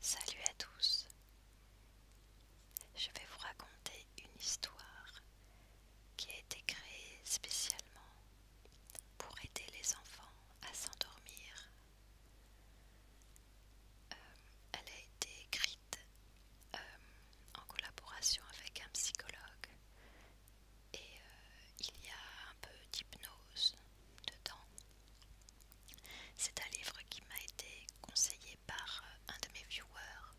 Salut à tous. Je vais vous raconter une histoire qui a été créée spécialement pour aider les enfants à s'endormir. Euh, elle a été écrite euh, en collaboration avec un psychologue et euh, il y a un peu d'hypnose dedans c'est un livre qui m'a été conseillé par euh, un de mes viewers,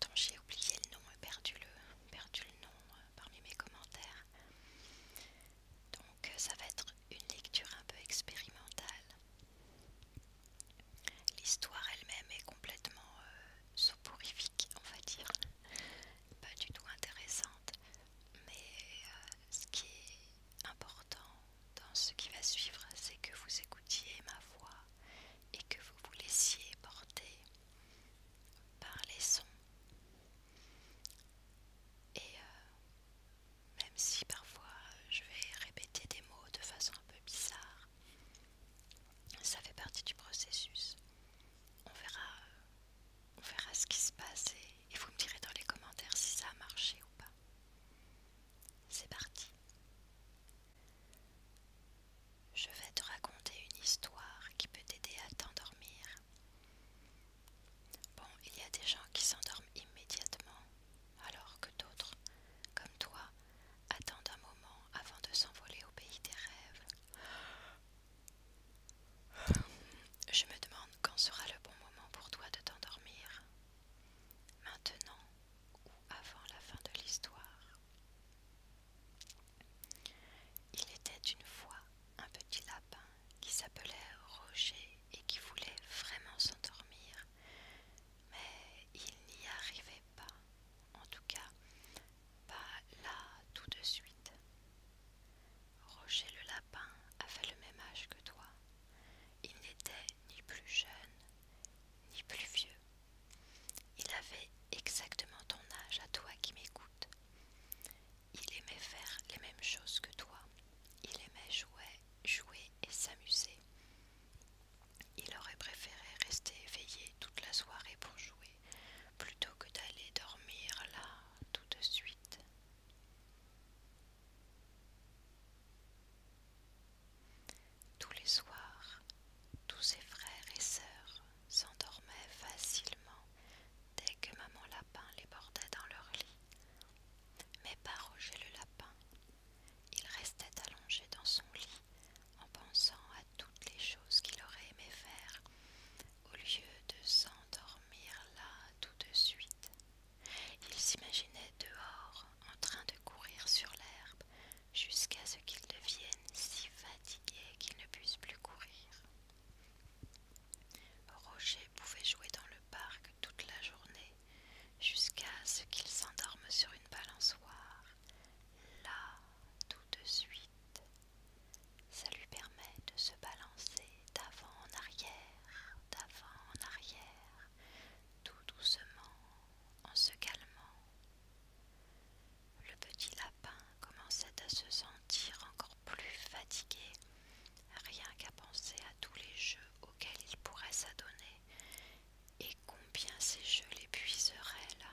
dont j'ai oublié le nom et perdu le, nom euh, parmi mes commentaires. Donc euh, ça va être une lecture un peu expérimentale. L'histoire elle-même est complètement soporifique, on va dire, pas du tout intéressante. Mais euh, ce qui est important dans ce qui va suivre, c'est que vous écoutiez ma voix et que vous vous laissiez porter par les sons. Et euh, même si parfois je vais répéter des mots de façon un peu bizarre, ça fait partie du processus. On verra euh, on verra ce qui se passe et, vous me direz dans les commentaires si ça a marché ou pas. C'est parti. Je vais te raconter une histoire qui peut t'aider à t'endormir. Bon, il y a des gens qui s'endorment immédiatement, alors que d'autres, comme toi, attendent un moment avant de s'envoler au pays des rêves. Je me demande quand sera le bon moment pour toi de t'endormir. Maintenant ou avant la fin de l'histoire. Il était une fois un petit lapin qui s'appelait Roger et qui voulait vraiment s'endormir, mais il n'y arrivait pas, en tout cas pas là tout de suite. Roger le Lapin avait le même âge que toi. Il n'était ni plus jeune, ni plus vieux. Il avait exactement ton âge à toi qui m'écoute. Il aimait faire les mêmes choses que toi. Il aimait jouer, jouer et s'amuser. Il aurait préféré rester éveillé toute la soirée pour jouer, plutôt que d'aller dormir là tout de suite. Tous les soirs, tous ses frères et sœurs s'endormaient facilement dès que maman lapin les bordait dans leur lit. Mais par Roger le lapin. Il restait allongé dans son lit en pensant à toutes les choses qu'il aurait aimé faire au lieu de s'endormir là tout de suite. Il s'imaginait dehors en train de courir sur l'herbe jusqu'à ce qu'ils deviennent si fatigués qu'ils ne puissent plus courir. Roger pouvait jouer dans le parc toute la journée jusqu'à ce qu'il s'endorme sur une balançoire, là tout de suite. Ça lui permet de se balancer d'avant en arrière d'avant en arrière, tout doucement, en se calmant. Le petit lapin commençait à se sentir encore plus fatigué, rien qu'à penser à tous les jeux auxquels il pourrait s'adonner, et combien ces jeux l'épuiseraient là,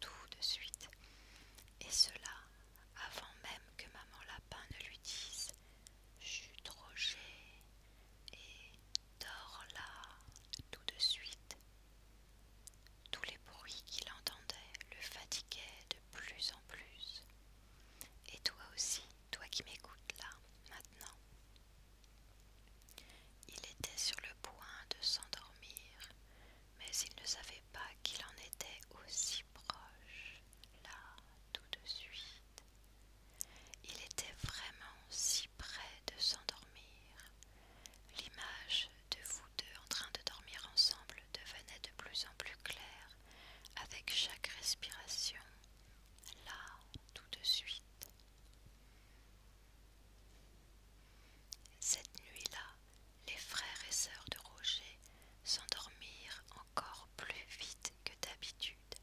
tout de suite. Et cela avant même que maman lapin ne lui dise Chut Roger et dors là tout de suite. Tous les bruits qu'il entendait le fatiguaient de plus en plus. Et toi aussi, toi qui m'écoutes là, maintenant. Il était sur le point de s'endormir, mais il ne savait pas qu'il en était aussi proche, là, tout de suite. Il était vraiment si près de s'endormir. L'image de vous deux en train de dormir ensemble devenait de plus en plus claire avec chaque respiration, là, tout de suite. Cette nuit-là, les frères et sœurs de Roger s'endormirent en encore plus vite que d'habitude,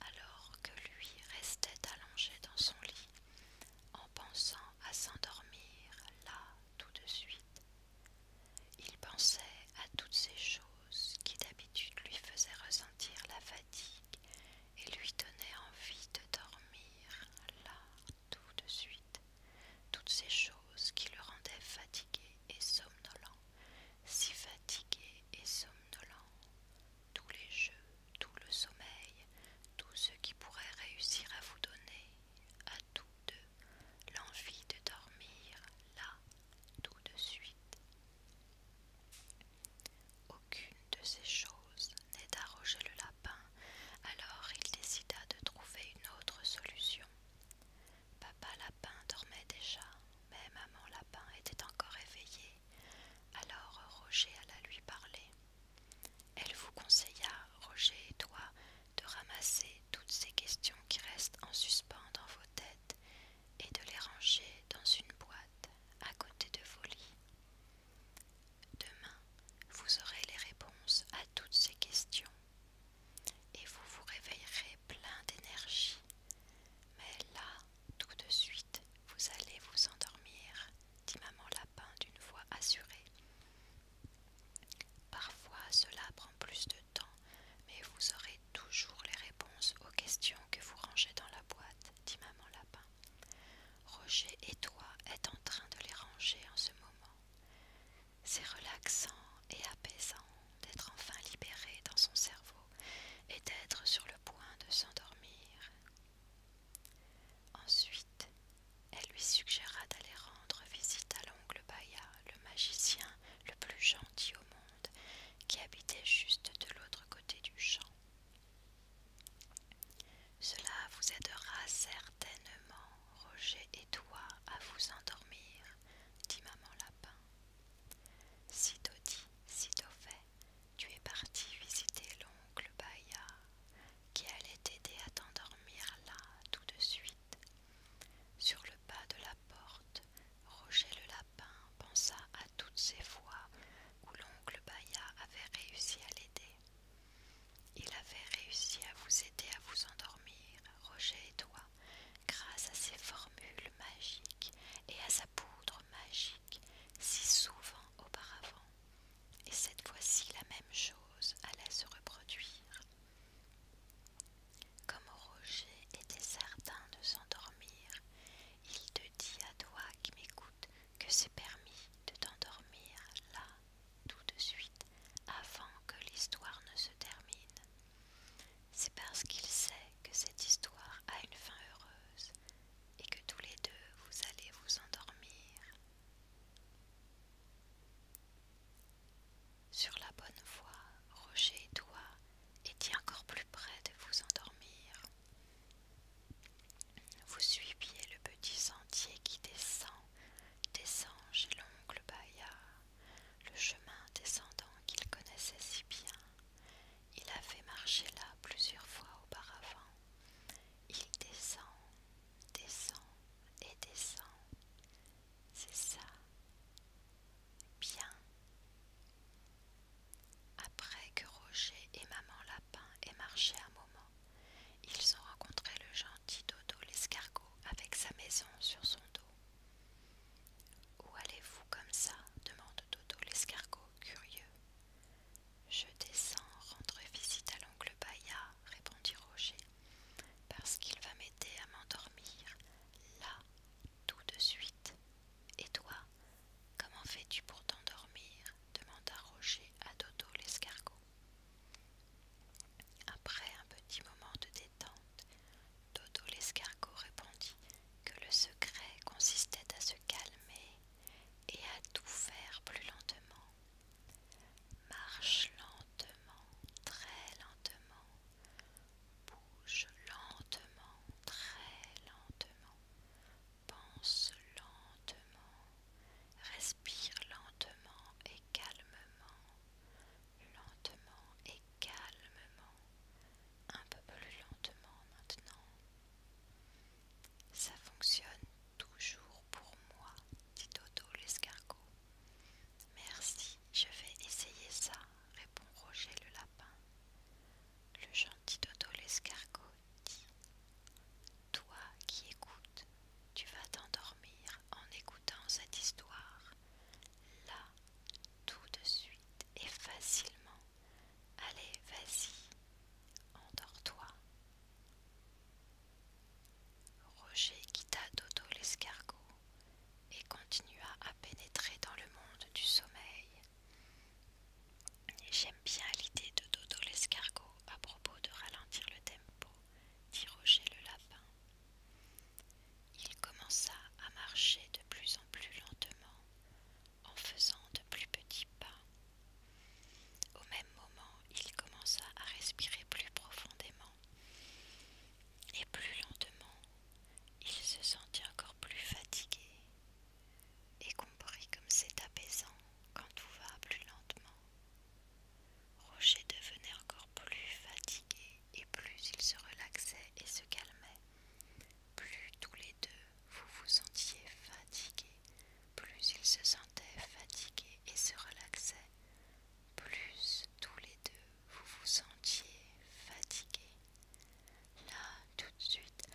alors que lui restait allongé dans son lit, en pensant à s'endormir là tout de suite. Il pensait à toutes ces choses qui d'habitude lui faisaient ressentir la fatigue et lui donnaient envie de dormir là tout de suite. Toutes ces choses qui le rendaient fatigué et somnolent si fatigué et somnolent, tous les jeux, tout le sommeil, tout ce qui pourrait réussir à vous donner, à tous deux, l'envie de dormir là, tout de suite. Aucune de ces choses n'est d'arroger le lapin, alors il décida de trouver une autre solution. Papa Lapin dormait déjà, mais Maman Lapin était encore éveillée, alors Roger alla lui parler. Elle vous conseilla, Roger et toi, de ramasser toutes ces questions qui restent en suspens dans vos têtes et de les ranger dans une boîte à côté de vos lits. Demain, vous aurez les réponses à toutes ces questions, et vous vous réveillerez plein d'énergie. Mais là, tout de suite, vous allez vous endormir, dit maman lapin d'une voix assurée. Parfois cela prend plus de temps, mais vous aurez toujours les réponses aux questions que vous rangez dans la boîte, dit maman lapin. Roger et toi êtes en train de les ranger en ce moment. C'est relaxant et apaisant d'être enfin libéré dans son cerveau et d'être sur le point de s'endormir. Ensuite, elle lui suggéra d'aller rendre visite à l'oncle Baïa le magicien le plus gentil au monde, qui habitait juste de l'autre côté du champ. Cela vous aidera certainement, Roger et toi, à vous endormir, dit maman Lapin. Sitôt dit, sitôt fait, tu es parti visiter l'oncle Baïa, qui allait t'aider à t'endormir là tout de suite. Sur le pas de la porte, Roger le Lapin pensa à toutes ces fois où l'oncle Baïa avait réussi à l'aider. Il avait réussi à vous aider à vous endormir, Roger et toi, grâce à ses formules magiques et à sa poudre magique si souvent auparavant. Et cette fois-ci la même chose allait se reproduire. Comme Roger était certain de s'endormir, il te dit à toi qui m'écoute que c'est permis de t'endormir là tout de suite avant que l'histoire ne se termine. C'est parce qu'il sait que cette histoire a une fin heureuse et que tous les deux vous allez vous endormir sur la bonne voie, Roger et toi étiez encore plus près de vous endormir. Vous suiviez le petit sentier qui descend, descend chez l'oncle Bayard le chemin descendant qu'il connaissait si bien. Il avait marché là plusieurs fois auparavant. Il descend, descend et descend. C'est ça. Bien. Après que Roger et maman Lapin aient marché un moment, ils ont rencontré le gentil Dodo l'escargot avec sa maison sur son dos. Où allez-vous comme ça demande Dodo l'escargot, curieux. Je descends rendre visite à l'oncle Baïa, » répondit Roger, parce qu'il va m'aider à m'endormir, là, tout de suite. Et toi, comment fais-tu pour t'endormir demanda Roger à Dodo l'escargot. Après un petit moment de détente, Dodo l'escargot répondit que le secret consistait à se calmer et à tout faire plus lentement. Marche lentement, très lentement. Bouge lentement, très lentement. Pense lentement. Respire lentement et calmement. Lentement et calmement, un peu plus lentement maintenant. Ça fonctionne toujours pour moi, dit Toto l'escargot. Merci, je vais essayer ça, répond Roger le lapin. Le gentil Toto l'escargot dit Toi qui écoutes, tu vas t'endormir en écoutant cette histoire. Là, tout de suite et facilement. Allez, vas-y, endors-toi. Roger quitta Dodo l'escargot et continua à pénétrer dans le monde du sommeil. J'aime bien l'idée de Dodo l'escargot à propos de ralentir le tempo, dit Roger le lapin il commença à marcher de plus en plus lentement, en faisant de plus petits pas. Au même moment, il commença à respirer plus profondément et plus lentement. Il se sentit encore plus fatigué et comprit comme c'est apaisant quand tout va plus lentement. Roger devenait encore plus fatigué et plus il se relaxait et se calmait. Plus tous les deux vous vous sentiez fatigués, plus il se sentait fatigué et se relaxait. plus tous les deux vous vous sentiez fatigués. Là, tout de suite,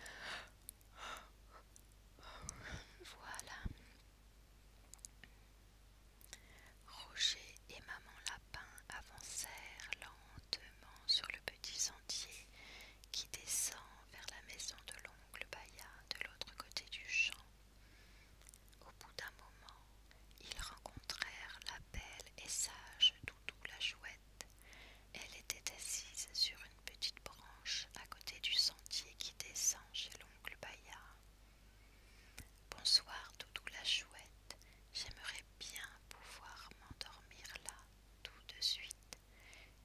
voilà. Roger et Maman avancèrent lentement sur le petit sentier qui descend vers la maison de l'oncle Baïa de l'autre côté du champ. Au bout d'un moment, ils rencontrèrent la belle et sage Doudou la chouette. Elle était assise sur une petite branche à côté du sentier qui descend chez l'oncle Baïa. Bonsoir Doudou la chouette, J'aimerais bien pouvoir m'endormir là tout de suite.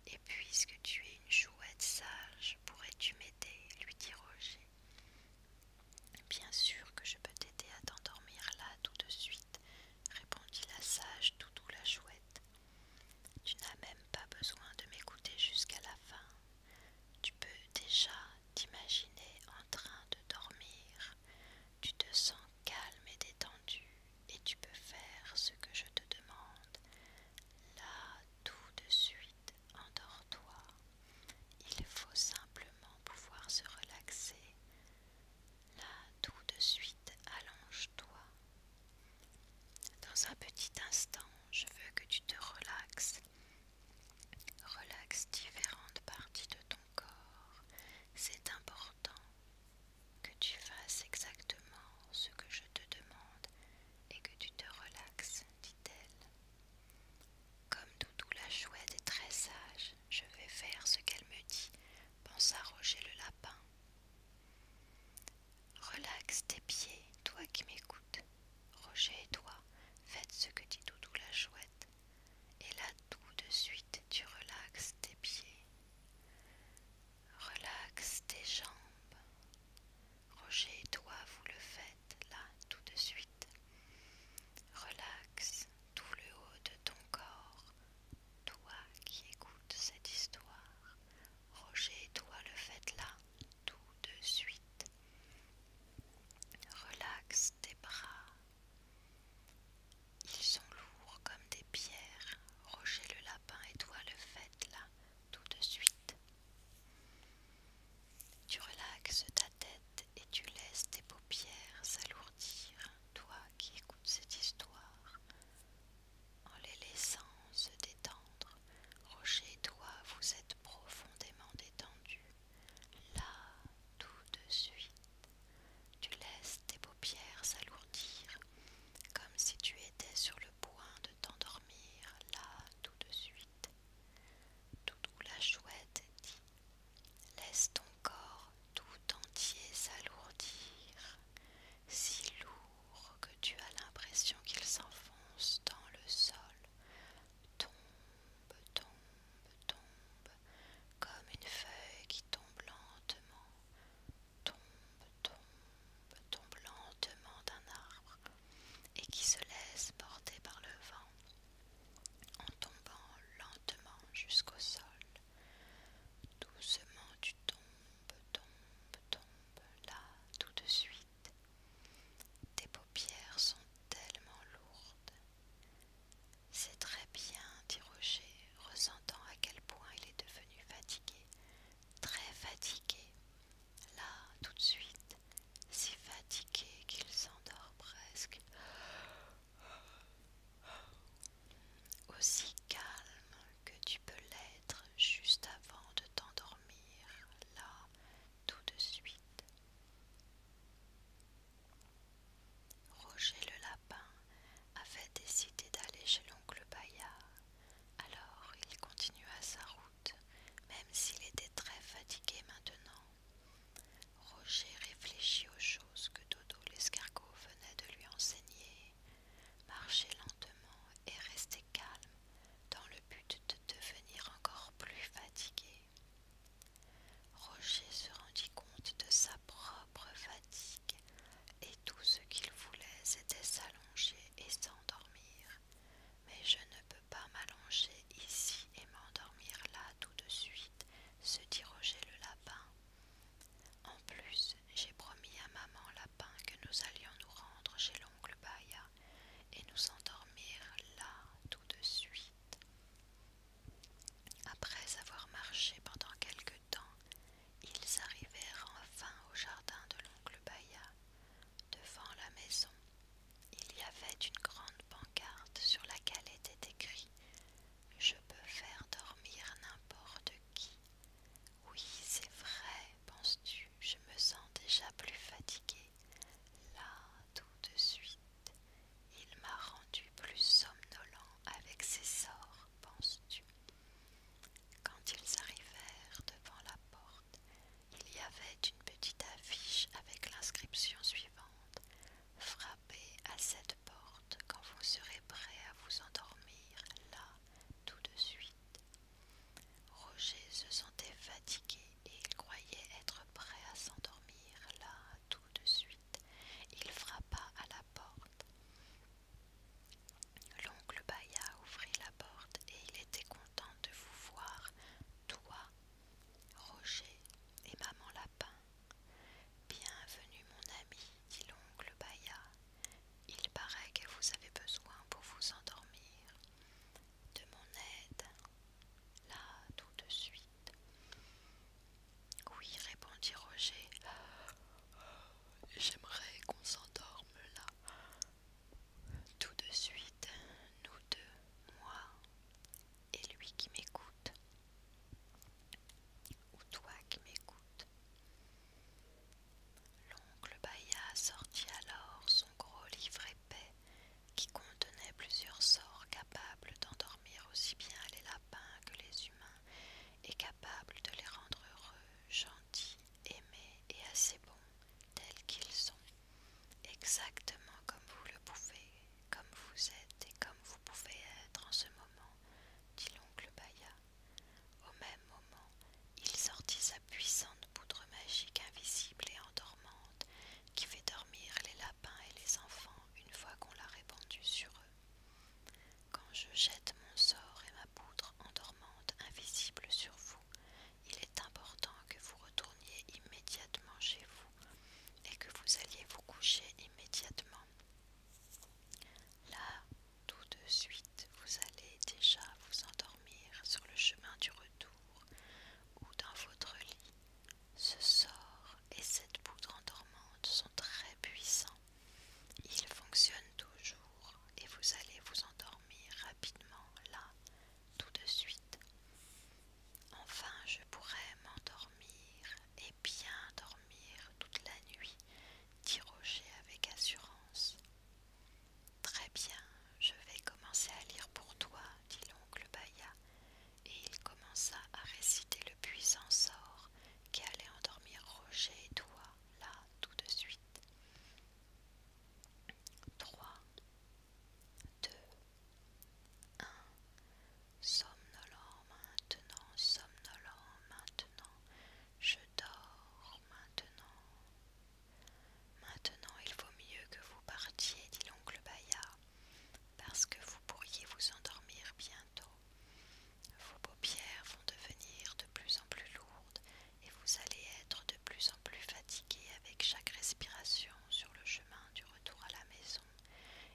Et puisque tu es une chouette sage, pourrais-tu m'aider lui dit Roger. Bien sûr que je peux t'aider à t'endormir là tout de suite, répondit la sage tout Doudou la chouette. Tu n'as même pas besoin de m'écouter jusqu'à la fin. Tu peux déjà t'imaginer en train de dormir tu te sens calme et détendu et tu peux faire ce que je te demande. Là, tout de suite, endors-toi. Il faut simplement pouvoir se relaxer. Là, tout de suite, allonge-toi. Dans un petit instant, je veux que tu te relaxes. Relaxe différentes parties de ton c'est important que tu fasses exactement ce que je te demande et que tu te relaxes, dit-elle. Comme Doudou la chouette est très sage, je vais faire ce qu'elle me dit, pensa Roger le lapin. Relaxe tes pieds, toi qui m'écoutes. Roger et toi, faites ce que dit Doudou la chouette. Et là tout de suite tu relaxes tes pieds, relaxes tes jambes. Roger et toi vous le faites là tout de suite. Relaxe tout le haut de ton corps. Toi qui écoutes cette histoire, Roger et toi le faites là tout de suite. Relaxe tes bras, ils sont lourds comme des pierres. Roger le lapin et toi le faites là, tout de suite. Tu relaxes ta tête et tu laisses tes paupières s'alourdir, toi qui écoutes cette histoire. En les laissant se détendre, Roger et toi vous êtes profondément détendus, là, tout de suite. Tu laisses tes paupières s'alourdir, comme si tu étais sur le point de t'endormir là tout de suite. Tout la chouette dit Laisse ton corps tout entier s'alourdir, si lourd que tu as l'impression qu'il s'enfonce dans le sol. Tombe, tombe, tombe, comme une feuille qui tombe lentement, tombe, tombe, tombe lentement d'un arbre, et qui se laisse porter par le vent, en tombant lentement jusqu'au sol. Doucement tu tombes, tombes, tombes, là tout de suite. Tes paupières sont tellement lourdes. C'est très bien, dit Roger, ressentant à quel point il est devenu fatigué, très fatigué. Là, tout de suite, si fatigué qu'il s'endort presque. Aussi calme que tu peux l'être juste avant de t'endormir, là, tout de suite. Roger le Lapin avait décidé d'aller chez l'oncle Bayard, alors il continua sa route, même s'il était très fatigué maintenant. Roger réfléchit aux choses que Dodo l'escargot venait de lui enseigner, marcher lentement et rester calme dans le but de devenir encore plus fatigué. Roger se rendit compte de sa propre fatigue, et tout ce qu'il voulait, c'était s'allonger et s'endormir. Mais je ne peux pas m'allonger ici et m'endormir là tout de suite, se dit Roger le lapin. En plus, j'ai promis à maman lapin que nous allions nous rendre chez l'oncle Baïa et nous endormir là tout de suite. Après avoir marché pendant quelque temps, ils arrivèrent enfin au jardin de l'oncle Baïa, devant la maison. Il y avait une grande pancarte sur laquelle était écrit Je peux faire dormir n'importe qui. Oui, c'est vrai, penses-tu, je me sens déjà plus fatigué. Là, tout de suite, il m'a rendu plus somnolent avec ses sorts, penses-tu Quand ils arrivèrent devant la porte, il y avait une petite affiche avec l'inscription suivante Frappez à cette porte quand vous serez prêt à vous endormir là tout de suite. Roger se sentait fatigué et il croyait être prêt à s'endormir là tout de suite. Il frappa à la porte. L'oncle Baya ouvrit la porte et il était content de vous voir, toi, Roger et maman Lapin. Bienvenue mon ami, dit l'oncle Baïa. Il paraît que vous avez besoin pour vous endormir. De mon aide, là tout de suite. Oui, répondit Roger. J'aimerais qu'on s'endorme là. Tout de suite, nous deux, moi et lui qui m'écoute. Ou toi qui m'écoutes. L'oncle Baïa sortit alors son gros livre épais qui contenait plusieurs sorts capables d'endormir aussi bien les lapins que les humains et capable de les rendre heureux, gentils, aimés et assez bons tels qu'ils sont, exactement comme vous le pouvez, comme vous êtes et comme vous pouvez être en ce moment, dit l'oncle Baya. Au même moment, il sortit sa puissante poudre magique invisible et endormante qui fait dormir les lapins et les enfants une fois qu'on l'a répandue sur eux. Quand je jette mon sort et ma poudre endormante invisible sur vous, il est important que vous retourniez immédiatement chez vous et que vous alliez vous coucher immédiatement. Là, tout de suite, vous allez déjà vous endormir sur le chemin du retour ou dans votre lit. Ce sort et cette poudre endormante sont très puissants. Il fonctionne toujours et vous allez vous endormir rapidement là, tout de suite. Enfin, je pourrai m'endormir et bien dormir toute la nuit, dit Roger avec assurance. Très bien, je vais commencer à lire pour toi, dit l'oncle Baya, et il commença à réciter le puissant sort qui allait endormir Roger et toi, là, tout de suite. 3, 2, 1. Somnolent maintenant, somnolent maintenant, je dors maintenant. Maintenant il vaut mieux que vous partiez, dit l'oncle Bayard parce que vous pourriez vous endormir bientôt. Vos paupières vont devenir de plus en plus lourdes et vous allez être de plus en plus fatigué avec chaque respiration sur le chemin du retour à la maison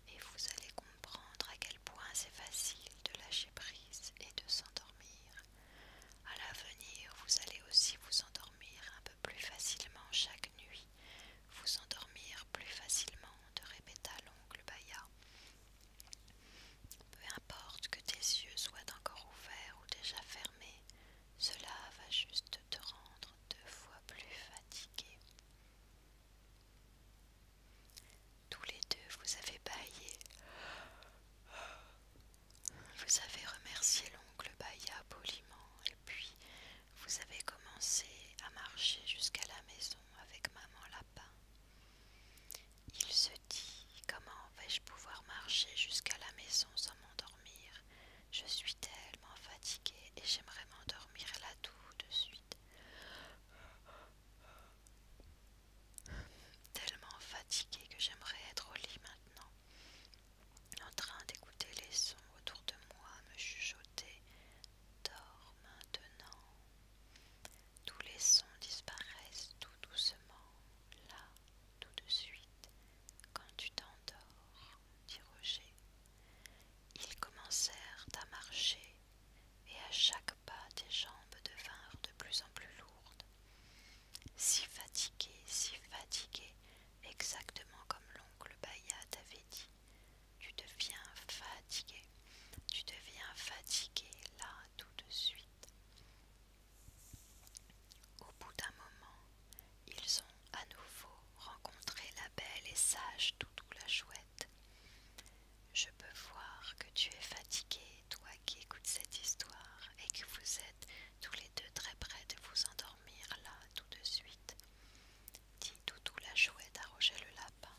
et vous allez comprendre à quel point c'est facile de lâcher prise et de s'endormir. À l'avenir, vous allez aussi vous endormir un peu plus facilement chaque nuit, vous endormir plus facilement de répéta l'oncle Baya peu importe que tes yeux soient encore ouverts ou déjà fermés, cela va juste te rendre deux fois plus fatigué. Tous les deux, vous avez baillé. Vous avez remercié l'oncle Baïa poliment et puis vous avez commencé à marcher jusqu'à la maison avec maman la il se dit Comment vais-je pouvoir marcher jusqu'à la maison sans m'endormir Je suis tellement fatiguée et j'aimerais m'endormir là tout de suite. Tellement fatiguée que j'aimerais être au lit maintenant, en train d'écouter les sons autour de moi, me chuchoter. Dors maintenant. Tous les sons disparaissent tout doucement, là, tout de suite, quand tu t'endors, dit Roger. Ils commencèrent à marcher, et à chaque pas tes jambes devinrent de plus en plus lourdes. Si fatiguées, si fatiguées, exactement comme l'oncle Bayat avait dit, tu deviens fatigué. Tu deviens fatigué là tout de suite. Au bout d'un moment, ils ont à nouveau rencontré la belle et sage Toutou la chouette. Je peux voir que tu es fatigué, toi qui écoutes cette histoire, et que vous êtes tous les deux très près de vous endormir là tout de suite. Dit Toutou la chouette à Roger le lapin.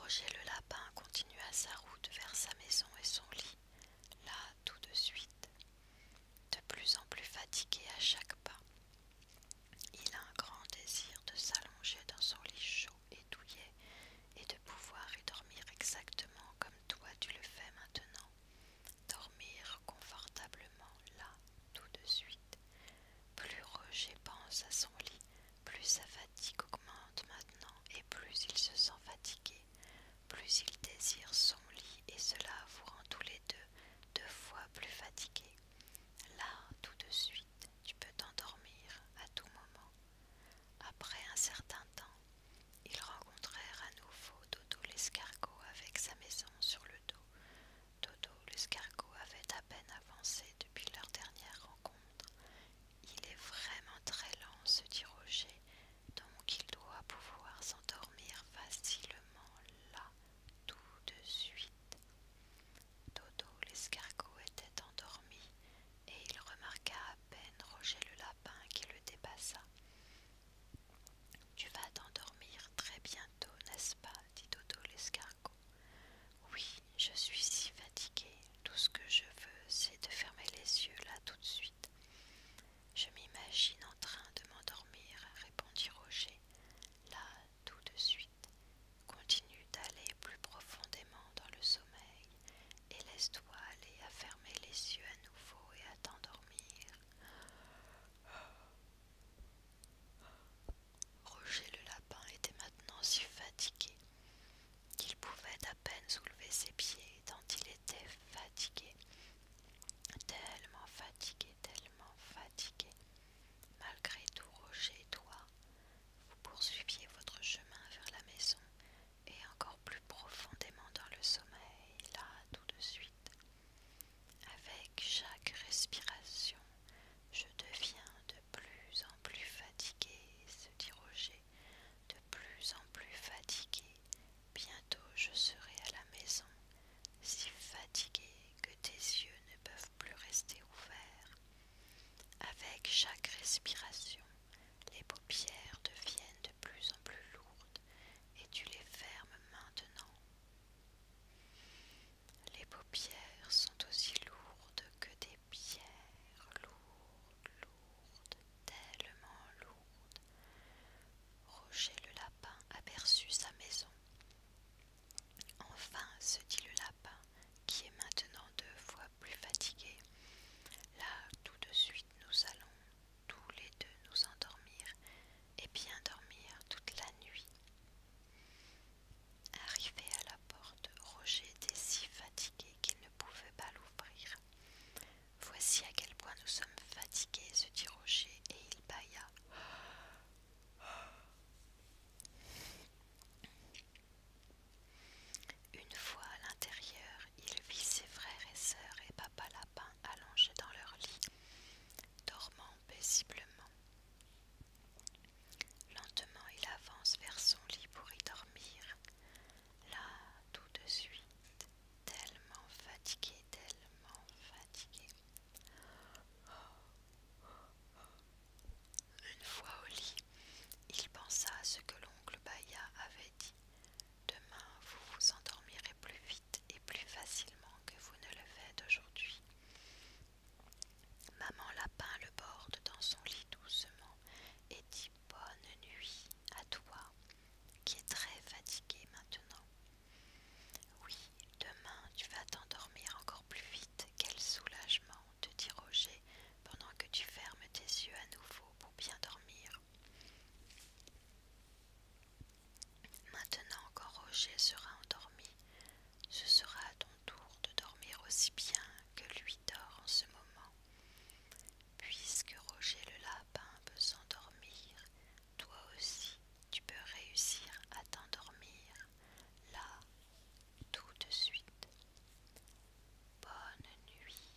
Roger le lapin continua sa route vers sa maison et son lit, là tout de suite, de plus en plus fatigué à chaque pas. Il a un grand désir de s'allonger dans son lit chaud et douillet et de pouvoir y dormir exactement comme toi tu le fais maintenant dormir confortablement là tout de suite. Plus Roger pense à son lit, plus sa fatigue augmente maintenant et plus il se sent fatigué, plus il désire son lit et cela vous rend tous les deux deux fois plus fatigué. Là tout de suite, tu peux t'endormir à tout moment. Après un certain temps, ils rencontrèrent à nouveau Dodo l'escargot avec sa maison sur le dos. Dodo l'escargot avait à peine avancé depuis leur dernière rencontre. Il est vraiment très lent, se dit Roger, donc il doit pouvoir s'endormir facilement là, tout de suite. Dodo l'escargot était endormi et il remarqua à peine Roger le lapin qui le dépassa. Tu vas t'endormir très bientôt, n'est-ce pas dit Toto l'escargot. Oui, je suis si fatigué. Tout ce que je veux, c'est de fermer les yeux là tout de suite. Je m'imagine en train de m'endormir, répondit Roger. Là, tout de suite. Continue d'aller plus profondément dans le sommeil et laisse-toi aller à fermer les yeux à nouveau et à t'endormir. Roger le Lapin était maintenant si fatigué qu'il pouvait à peine soulever ses pieds tant il était fatigué. Tellement fatigué, tellement fatigué. Malgré tout, Roger et toi, vous poursuiviez votre chemin vers la maison et encore plus profondément dans le sommeil, là tout de suite. Avec chaque respiration, je deviens de plus en plus fatigué, se dit Roger, de plus en plus fatigué. Bientôt je serai à la maison, si fatiguée que tes yeux ne peuvent plus rester ouverts. Avec chaque respiration, les paupières deviennent de plus en plus lourdes et tu les fermes maintenant. Les paupières sont aussi lourdes que des pierres, lourdes, lourdes, tellement lourdes. Roger le lapin aperçut sa maison. Enfin, se dit le lapin, qui est maintenant deux fois plus fatigué, là tout de suite nous allons tous les deux nous endormir et bien dormir toute la nuit. Arrivé à la porte, Roger était si fatigué qu'il ne pouvait pas l'ouvrir. Voici à quel point nous sommes fatigués, se dit Roger, et il bailla. Une fois à l'intérieur, il vit ses frères et sœurs et papa Lapin allongés dans leur lit dormant paisiblement. Lentement il avance vers son lit pour y dormir. Là, tout de suite, tellement fatigué, tellement fatigué. Une fois au lit, il pensa à ce que l'oncle Baïa avait dit. Demain, vous vous endormirez plus vite et plus facilement que vous ne le faites aujourd'hui. Maman Lapin le borde dans son lit doucement et dit bonne nuit à toi, qui es très fatiguée maintenant. Oui, demain tu vas t'endormir encore plus vite. Quel soulagement, te dit Roger, pendant que tu fermes tes yeux à nouveau pour bien dormir. Maintenant quand Roger sera endormi, ce sera à ton tour de dormir aussi bien que lui dort en ce moment. Puisque Roger le lapin peut s'endormir, toi aussi tu peux réussir à t'endormir là tout de suite. Bonne nuit.